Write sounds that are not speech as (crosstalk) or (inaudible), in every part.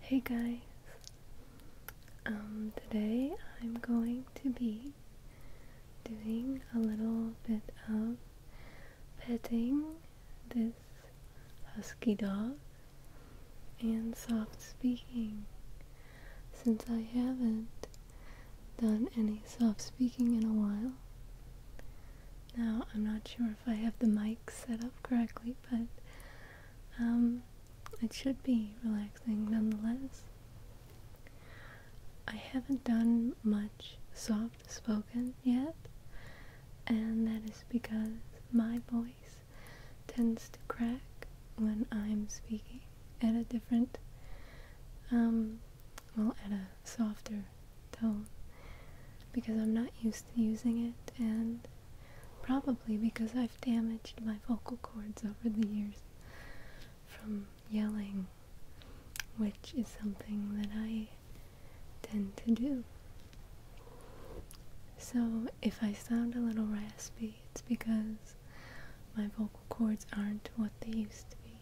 Hey guys! Um, today I'm going to be doing a little bit of petting this husky dog and soft speaking since I haven't done any soft speaking in a while. Now, I'm not sure if I have the mic set up correctly, but um, it should be relaxing nonetheless. I haven't done much soft spoken yet, and that is because my voice tends to crack when I'm speaking at a different, um, well, at a softer tone because I'm not used to using it and Probably because I've damaged my vocal cords over the years from yelling, which is something that I tend to do. So if I sound a little raspy, it's because my vocal cords aren't what they used to be.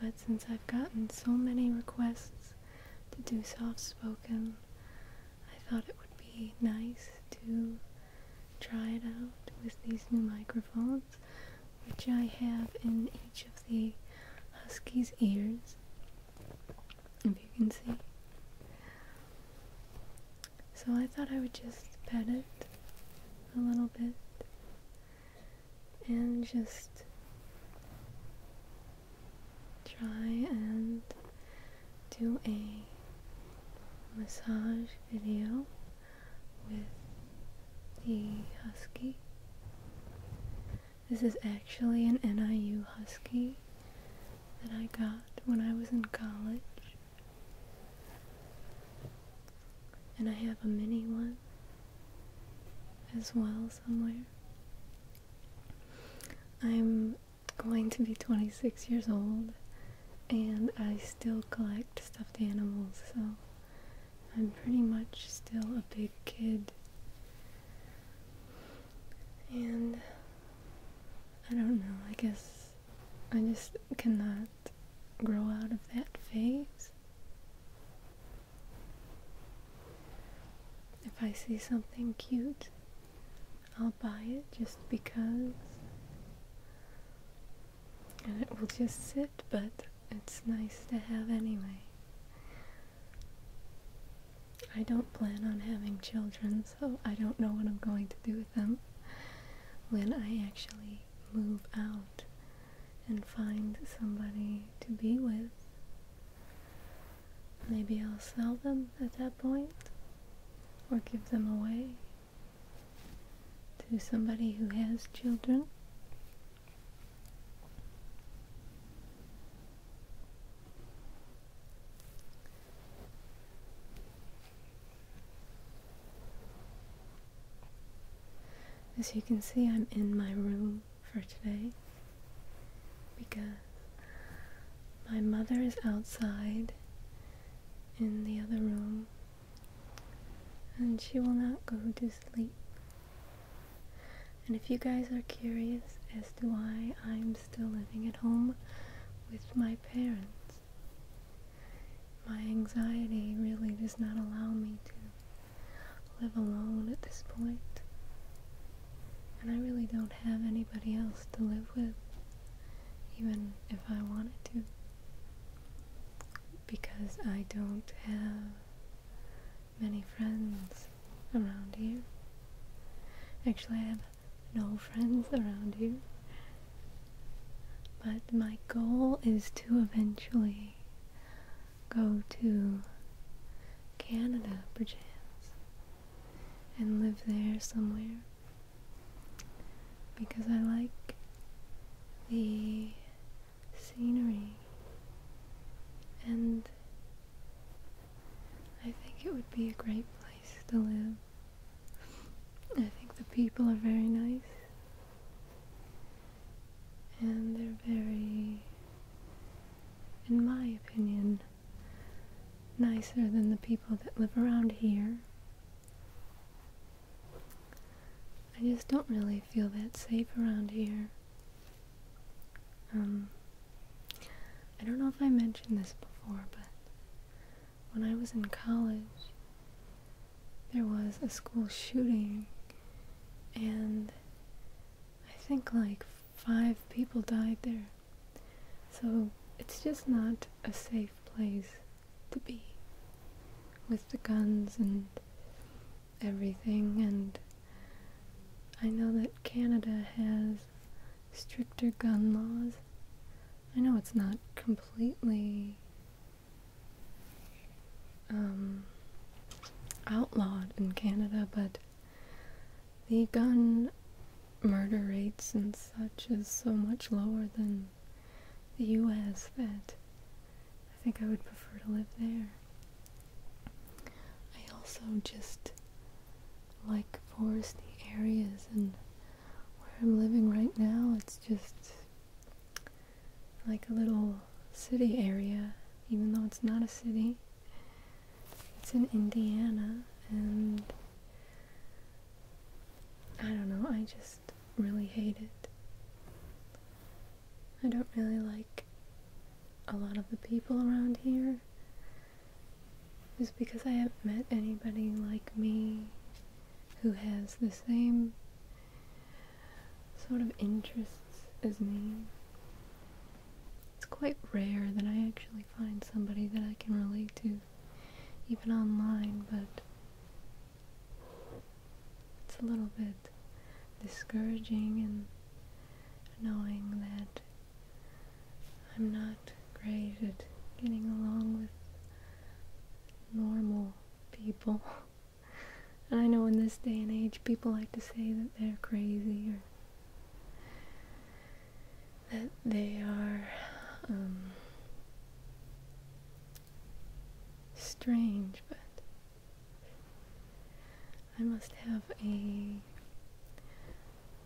But since I've gotten so many requests to do soft spoken. I thought it would be nice to try it out with these new microphones, which I have in each of the husky's ears, if you can see. So I thought I would just pet it a little bit and just try and do a massage video with the husky. This is actually an NIU husky that I got when I was in college. And I have a mini one as well somewhere. I'm going to be 26 years old and I still collect stuffed animals, so I'm pretty much still a big kid. And I don't know, I guess I just cannot grow out of that phase. If I see something cute, I'll buy it just because. And it will just sit, but it's nice to have anyway. I don't plan on having children, so I don't know what I'm going to do with them when I actually move out and find somebody to be with. Maybe I'll sell them at that point or give them away to somebody who has children. As you can see, I'm in my room for today because my mother is outside in the other room and she will not go to sleep. And if you guys are curious as to why I'm still living at home with my parents, my anxiety really does not allow me to live alone at this point, and I really don't have anybody else to live with, even if I wanted to, because I don't have many friends around here. Actually, I have no friends around here. But my goal is to eventually go to Canada, perchance, and live there somewhere. Because I like the scenery, and I think it would be a great place to live. I think the people are very nice and they're very, in my opinion, nicer than the people that live around here. I just don't really feel that safe around here. Um, I don't know if I mentioned this before, but when I was in college, there was a school shooting, and I think like five people died there. So it's just not a safe place to be with the guns and everything. And I know that Canada has stricter gun laws. I know it's not completely um, outlawed in Canada, but the gun murder rates and such is so much lower than the US that I think I would prefer to live there. I also just like foresty areas and where I'm living right now, it's just like a little city area, even though it's not a city. It's in Indiana, and I don't know, I just really hate it. I don't really like a lot of the people around here. Just because I haven't met anybody like me who has the same sort of interests as me. It's quite rare that I actually find somebody that I can relate to, even online, but it's a little bit discouraging and knowing that I'm not great at getting along with normal people. (laughs) I know in this day and age, people like to say that they're crazy or that they are um, strange, but I must have a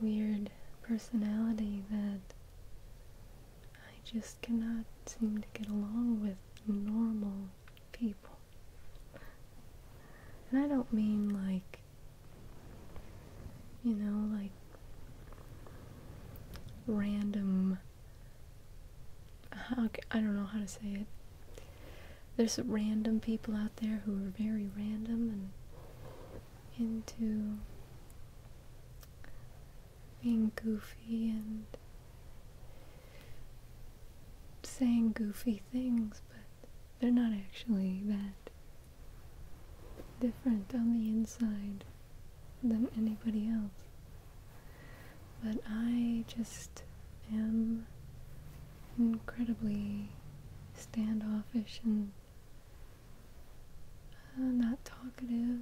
weird personality that I just cannot seem to get along with normal people. And I don't mean like, you know, like random. I don't know how to say it. There's random people out there who are very random and into being goofy and saying goofy things, but they're not actually that different on the inside than anybody else. But I just am incredibly standoffish and uh, not talkative.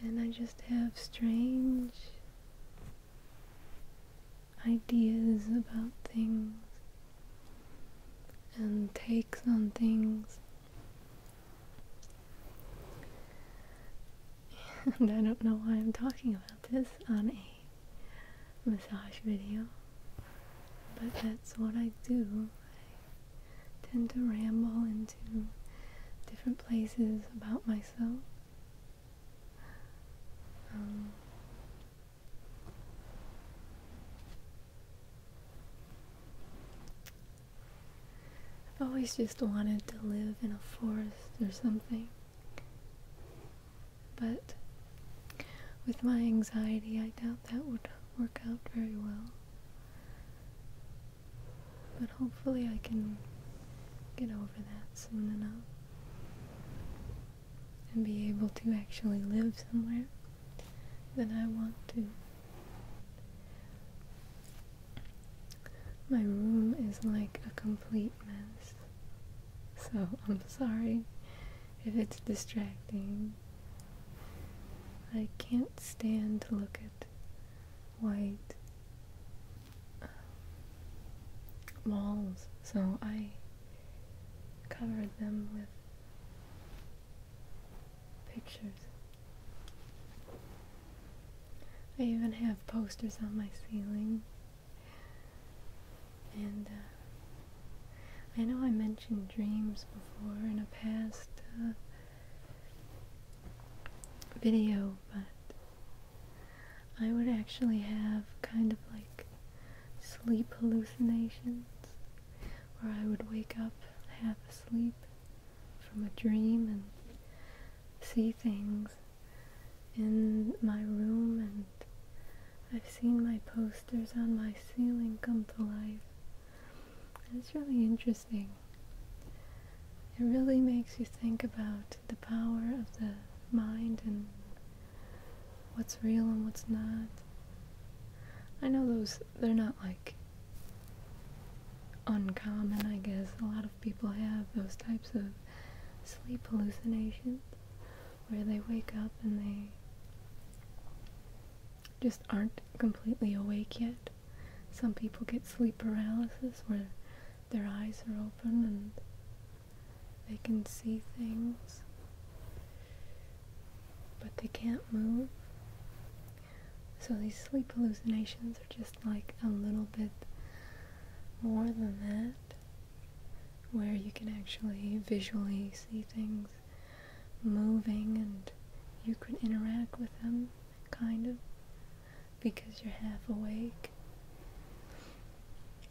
And I just have strange ideas about things and takes on things. (laughs) And I don't know why I'm talking about this on a massage video, but that's what I do. I tend to ramble into different places about myself. Um, I've always just wanted to live in a forest or something but with my anxiety, I doubt that would work out very well. But hopefully, I can get over that soon enough and be able to actually live somewhere that I want to. My room is like a complete mess, so I'm sorry if it's distracting. I can't stand to look at white um, walls, so I covered them with pictures. I even have posters on my ceiling and uh, I know I mentioned dreams before in a past uh, video, but I would actually have kind of like sleep hallucinations where I would wake up half asleep from a dream and see things in my room and I've seen my posters on my ceiling come to life. it's really interesting. It really makes you think about the power of the mind and what's real and what's not. I know those, they're not like uncommon, I guess. A lot of people have those types of sleep hallucinations where they wake up and they just aren't completely awake yet. Some people get sleep paralysis where their eyes are open and they can see things, but they can't move. So these sleep hallucinations are just like a little bit more than that where you can actually visually see things moving and you can interact with them, kind of, because you're half awake.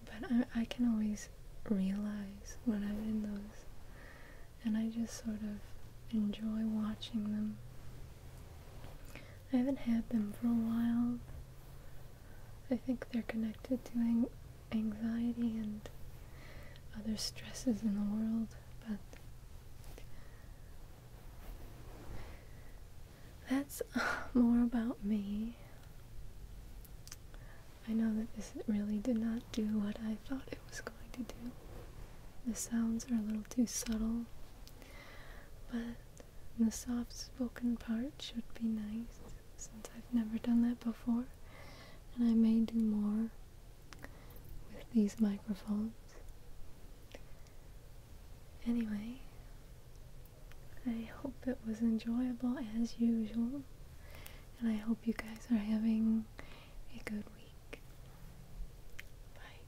But I, can always realize when I'm in those, and I just sort of enjoy watching them. I haven't had them for a while, I think they're connected to anxiety and other stresses in the world, but that's uh, more about me. I know that this really did not do what I thought it was going to do. The sounds are a little too subtle, but and the soft spoken part should be nice since I've never done that before. And I may do more with these microphones. Anyway, I hope it was enjoyable as usual. And I hope you guys are having a good week. Bye.